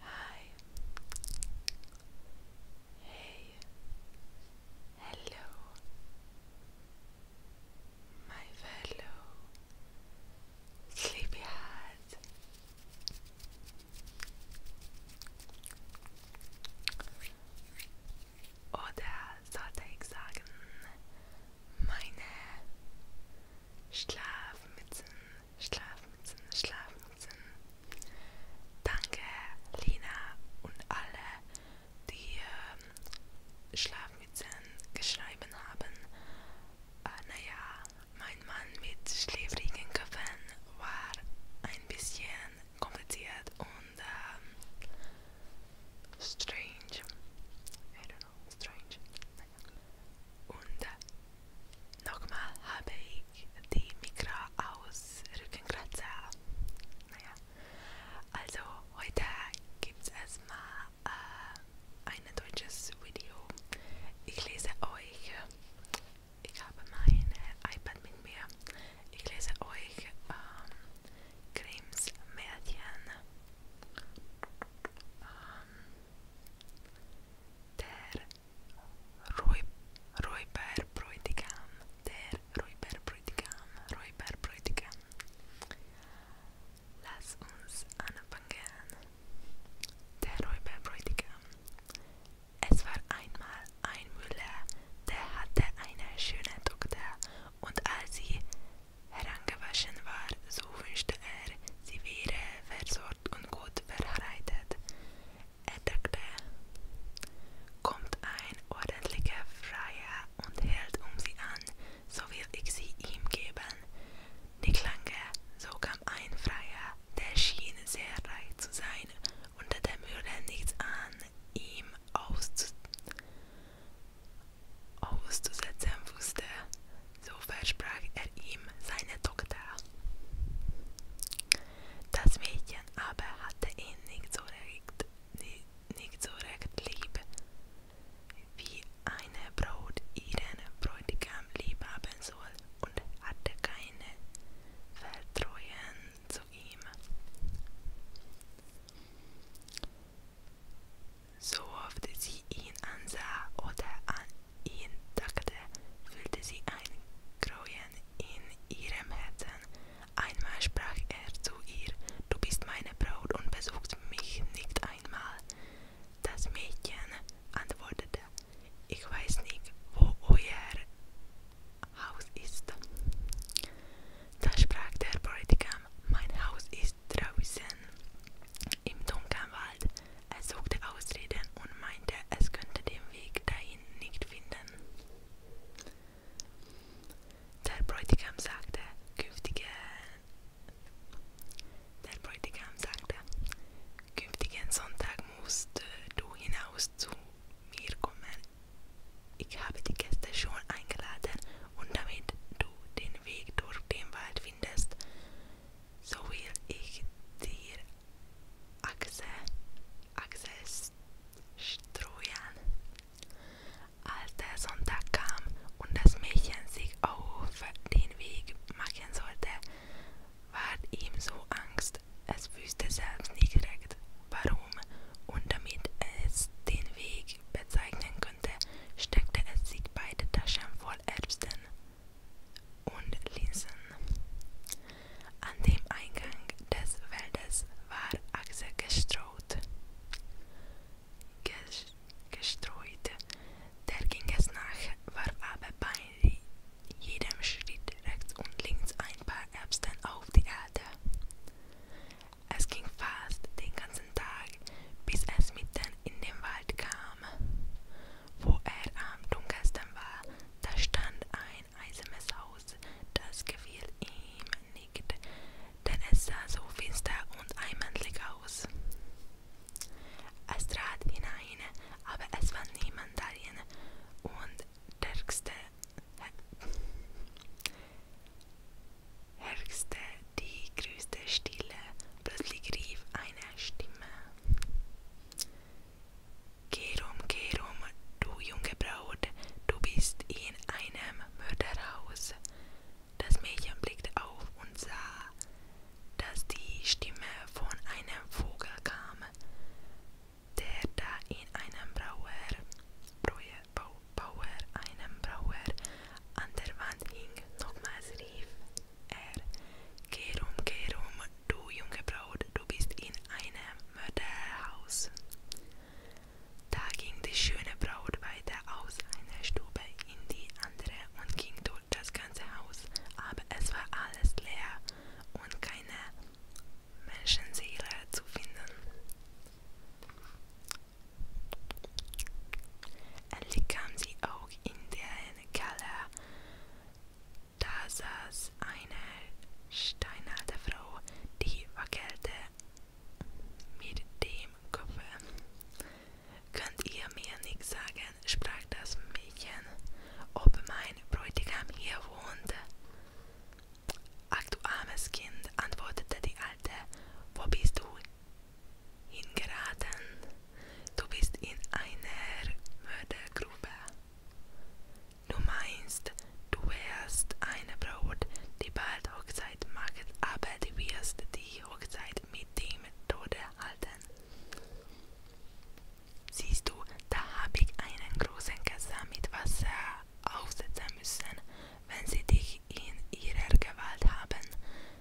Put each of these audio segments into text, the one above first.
Hi. Hey. Hello. My fellow sleepyhead. Oder sollte ich sagen, meine Schlafmützen Schlafmützen, Schlafmützen. Danke, Lina und alle, die ähm, Schlafmützen geschrieben haben. Äh, naja, mein Mann mit schläfrigen Köpfen war ein bisschen kompliziert und ähm, strange. I don't know, strange. Nein. Und nochmal habe ich die Mikra aus Rückenkratzer. Naja, also heute gibt es erstmal äh, ein deutsches Video. Ich lese euch, ich habe mein äh, iPad mit mir, ich lese euch ähm, Grimms Märchen. Ähm, der Räuberbräutigam, der Räuberbräutigam, Räuberbräutigam. Lass uns anfangen. Der Räuberbräutigam. Es war einmal ein Müller, der hatte eine schöne Tochter, und als sie heran angewaschen war, so wünschte er, sie wäre versorgt und gut verheiratet. Er dachte, kommt ein ordentlicher Freier und hält um sie an, so will ich sie ihm geben. Nicht lange, so kam ein Freier, der schien sehr reich zu sein, und der würde nichts an ihm auszusetzen wusste. So versprach er ihm seine Tochter. Das Mädchen aber hatte ihn nicht so recht, nicht so recht lieb, wie eine Braut ihren Bräutigam lieb haben soll, und hatte keine Vertreuen zu ihm. So oft sie ihn ansah oder an ihn dachte, fühlte sie ein Grauen in ihrem Herzen. Einmal sprach er zu ihr, du bist meine Braut und besuchst mich nicht einmal. Das Mädchen antwortete, ich weiß nicht, wo euer Haus ist. Da sprach der Bräutigam, mein Haus ist ist draußen im dunklen Wald. Er suchte Ausreden und meinte, es könnte den Weg dahin nicht finden. Der Bräutigam sagte, künftige der Bräutigam sagte, künftigen Sonntag musst du hinaus zu mir kommen. Ich habe die Gäste schon eingeladen und damit du den Weg durch den Wald findest, so will ich dir Achse, Achse streuen. Als der Sonntag kam und das Mädchen sich auf den Weg machen sollte, ward ihm so Angst, es wüsste selbst nicht recht, warum und damit es den Weg bezeichnen könnte konnte, steckte es sich beide Taschen voll Erbsen und Linsen. An dem Eingang des Feldes war Achse gestreut. Ges gestreut. Der ging es nach, warf aber bei jedem Schritt rechts und links ein paar Erbsen auf die Erde. Es ging fast den ganzen ganzen Tag, bis es mitten in den Wald kam. Wo er am dunkelsten war, da stand ein eisernes Haus, das gefiel ihm nicht, denn es sah so finster und einmannlich aus. Es trat hinein, aber es war niemand darin, und der herrschte die größte Stille. Plötzlich rief eine Stimme: Kerum, Kerum, du junge Braut, du bist in einem Mörderhaus. Das Mädchen blickte auf und sah, dass die Stimme von einem Vogel kam, der da in einem Brauer, Brauer, Bauer, einem Brauer an der Wand hing, nochmals rief er, Geh rum, geh rum, du junge Braut, du bist in einem Mörderhaus. Da ging die schöne Braut weiter aus einer Stube in die andere und ging durch das ganze Haus, aber es war alles leer und keine Menschenseele zu finden. Endlich kam sie auch in den Keller. Da saß eine steinalte Frau, die wackelte mit dem Kopf. Könnt ihr mir nicht sagen, sprach das Mädchen, ob mein Bräutigam hier wohnt? Ach du armes Kind, antwortete die Alte, wo bist du hingeraten. Du bist in einer Mördergrube. Du meinst, du wärst eine Braut, die bald Hochzeit macht, aber du wirst die Hochzeit mit dem Tode halten. Siehst du, da habe ich einen großen Kassel mit Wasser aufsetzen müssen, wenn sie dich in ihrer Gewalt haben,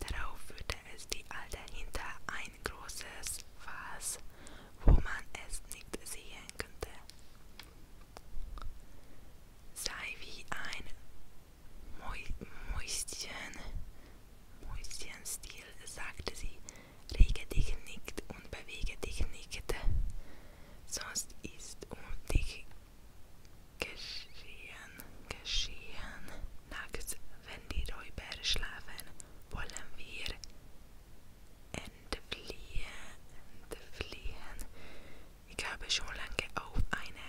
Darauf führte es die Alte hinter ein großes Fass, wo man es nicht sehen konnte. Sei wie ein Mäuschen, Mäuschenstil, sagte sie, rege dich nicht und bewege dich nicht, sonst ist um dich geschehen geschehen. Nachts, wenn die Räuber schlafen, wollen wir entfliehen, entfliehen. Ich habe schon lange auf eine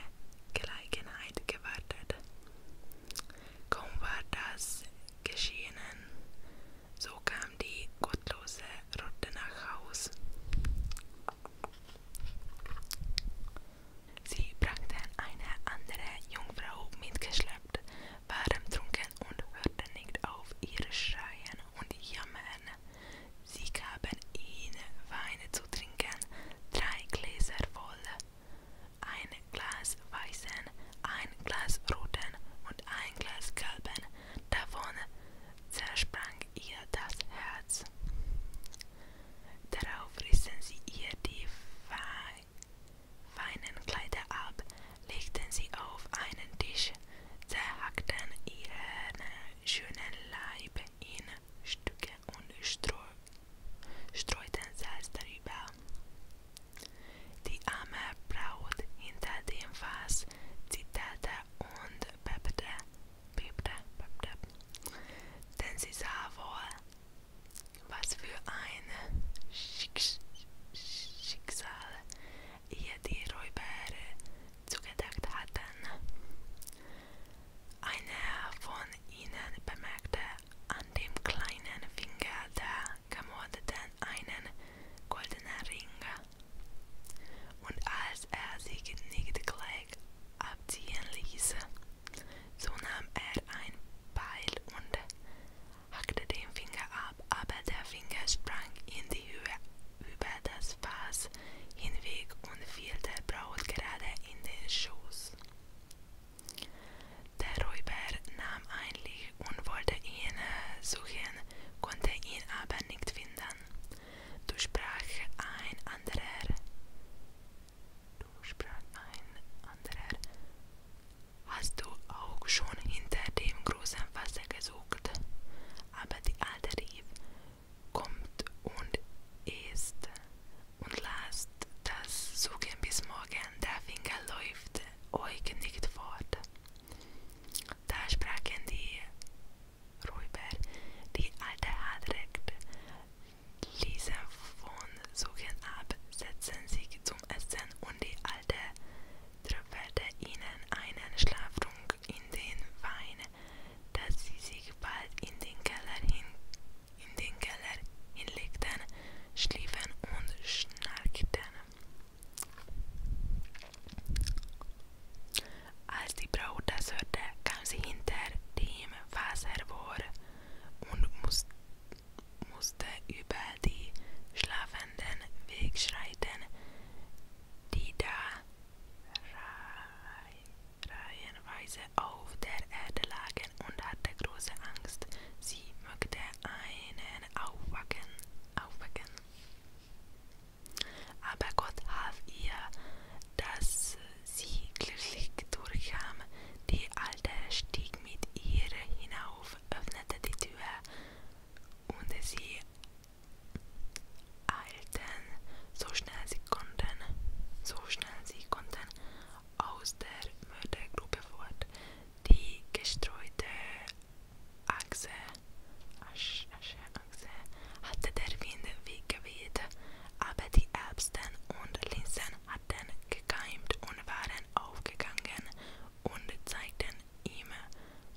Gelegenheit gewartet. Kaum war das geschehen, so kam die gottlose Rotte nach Haus. Sie brachten eine andere Jungfrau mitgeschleppt, waren trunken und hörten nicht auf ihr Schreien und Jammern. Sie gaben ihnen Wein zu trinken, drei Gläser voll, ein Glas weißen, ein Glas roten und ein Glas gelben, davon zersprang ihr das Herz. Darauf rissen sie ihr die feinen Kleider ab, legten sie auf einen Tisch, zerhackten ihren schönen Leib in Stücke und streu streuten Salz darüber. Die arme Braut hinter dem Fass zitterte und bebte, bebte, bebte, denn sie sah wohl, Was für ein Schicks Schicksal ihr die Räuber zugedacht hatten. Einer von ihnen bemerkte an dem kleinen Finger der Gemordeten einen goldenen Ring. Und als er sich nicht gleich abziehen ließ, So nahm er ein Beil und hackte den Finger ab, aber der Finger sprang in die Höhe über das Fass hinweg und fiel der Braut gerade in den Schoß. Der Räuber nahm ein Licht und wollte ihn suchen, konnte ihn aber nicht finden. Du sprach ein anderer sprang ein anderer. Hast du auch schon hinter dem großen Wasser gesucht? Aber die alte rief, kommt und esst und lasst das Suchen bis morgen, der Finger läuft euch nicht fort. Da sprachen die Räuber, die alte hat recht, Leser von Suchen ab, setzen sich zum Essen und die alte tröpfelte ihnen einen Schlaftrunk in den Wein, dass sie sich bald in den Keller, hin, in den Keller hinlegten, schliefen und schnarchten. Als die Braut das hörte, kam sie hinter die Team Faser war und muss, musste über die Schlafenden wegschreiten, die da reihenweise auf der Erde lagen und hatte große Angst, sie möchte einen aufwachen. aufwachen. Aber Gott half ihr, dass sie glücklich durchkam. Die Alte stieg mit ihr hinauf, öffnete die Tür und sie eilten, so schnell sie konnten, so schnell sie konnten, aus der Mördergruppe fort. Die gestreute Achse, Achse, Achse hatte der Wind weggeweht, aber die Erbsen und Linsen hatten gekeimt und waren aufgegangen und zeigten ihm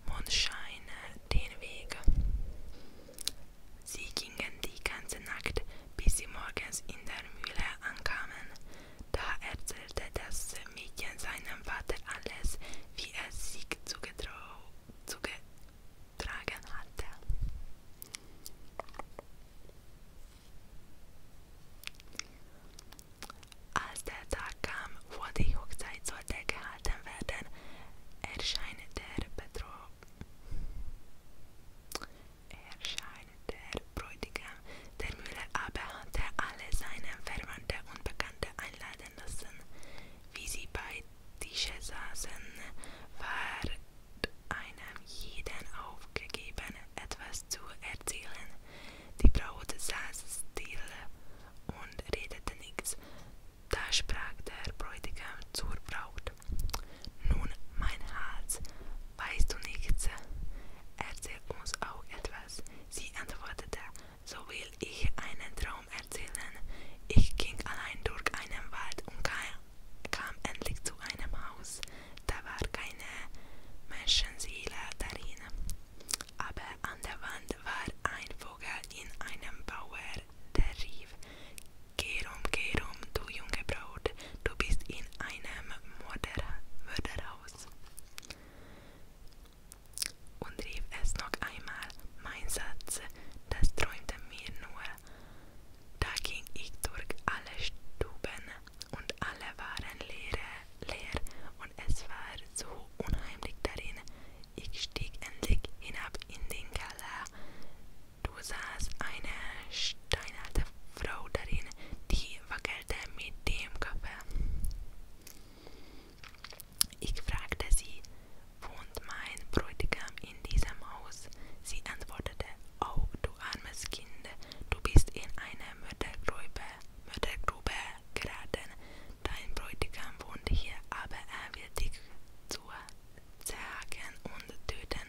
Mondscheine den Weg. Sie gingen die ganze Nacht, bis sie morgens in der Mühle ankamen. Da erzählte das Mädchen seinem Vater alles, wie es sich zugetraut, zuge, getragen hatte. Als der Tag kam, wo die Hochzeit sollte gehalten werden, erscheint der Betrug. Erscheint der Bräutigam. Der Müller aber hatte alle seine Verwandte und Bekannte einladen lassen, wie sie bei Tische saßen, war einem jeden aufgegeben, etwas zu erzählen. Die Braut saß still und redete nichts. Da sprach der Bräutigam zur Braut. Nun, mein Herz, weißt du nichts? Erzähl uns auch etwas. Sie antwortete, so will ich einen Traum erzählen. Ich ging allein durch einen Wald und kam kam endlich zu einem Haus, da war keine Menschenseele darin, aber an der Wand war ein Vogel in einem Bauer, der rief, Gerum, Gerum, du junge Braut, du bist in einem Mörder Mörderhaus. Und rief es noch einmal, mein Satz, das träumte mir nur, da ging ich durch alle Stuben und alle waren leer, leer und es war so unheimlich darin. Ich stieg endlich hinab in den Keller. Du sahst eine steinalte Frau darin, die wackelte mit dem Kopf. Ich fragte sie, wohnt mein Bräutigam in diesem Haus? Sie antwortete, oh, du armes Kind, du bist in eine Mördergrube, Mördergrube geraten. Dein Bräutigam wohnt hier, aber er will dich zu zerhacken und töten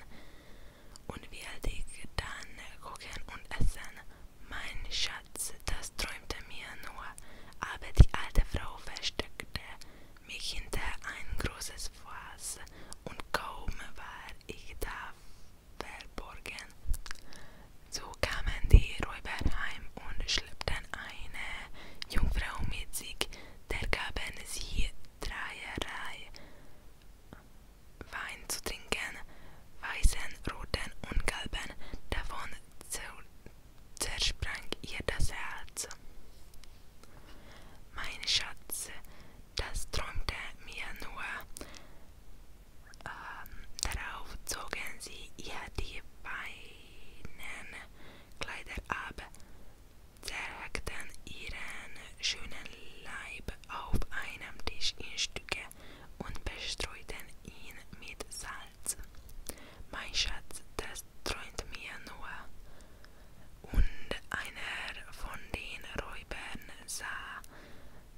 und will dich dann kochen und essen. Mein Schatz, das träumte mir nur, aber die alte Frau versteckte mich hinter ein großes Fass und kaum war ich da verborgen. So kamen die Räuber heim und schleppten eine Jungfrau mit sich, der gaben sie dreierlei Wein zu trinken, weißen, roten und gelben, davon zersprang ihr das Herz. Mein Schatz, das träumte mir nur. Ähm, darauf zogen sie ihr die feinen Kleider ab, zerhackten ihren schönen Leib auf einem Tisch in Stücke und bestreuten ihn mit Salz. Mein Schatz, das das träumt mir nur. Und einer von den Räubern sah,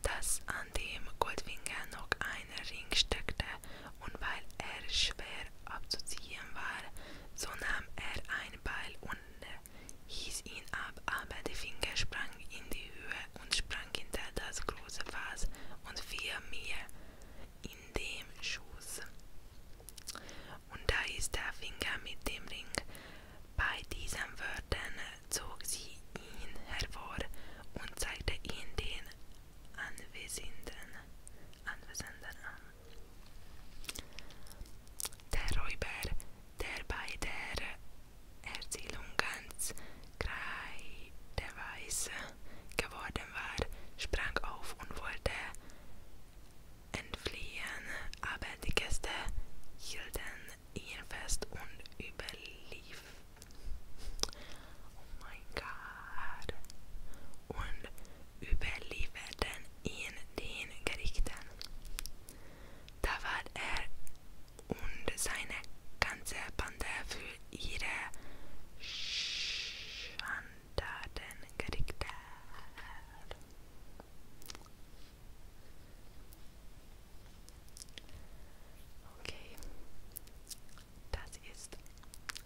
dass an dem Goldfinger noch ein Ring steckte, und weil er schwer abzuziehen war, so nahm er ein Beil und hieß ihn ab, aber der Finger sprang in die Höhe und sprang hinter das große Fass und fiel mir in dem Schuss. Und da ist der Finger mit dem Ring. Bei diesen Wörtern zog sie ihn hervor und zeigte ihn den Anwesenden, Anwesenden an. Der Räuber, der bei der Erzählung ganz kreideweiß geworden war, sprang auf und wollte entfliehen, aber die Gäste hielten ihn fest und überlief. Oh mein Gott. Und überlieferten ihn den Gerichten. Da war er und seine ganze Bande für ihre Schande Datencharakter. Okay, das ist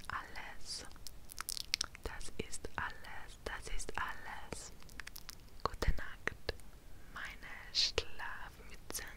alles. Das ist alles. Das ist alles. Gute Nacht, meine Schlafmützen.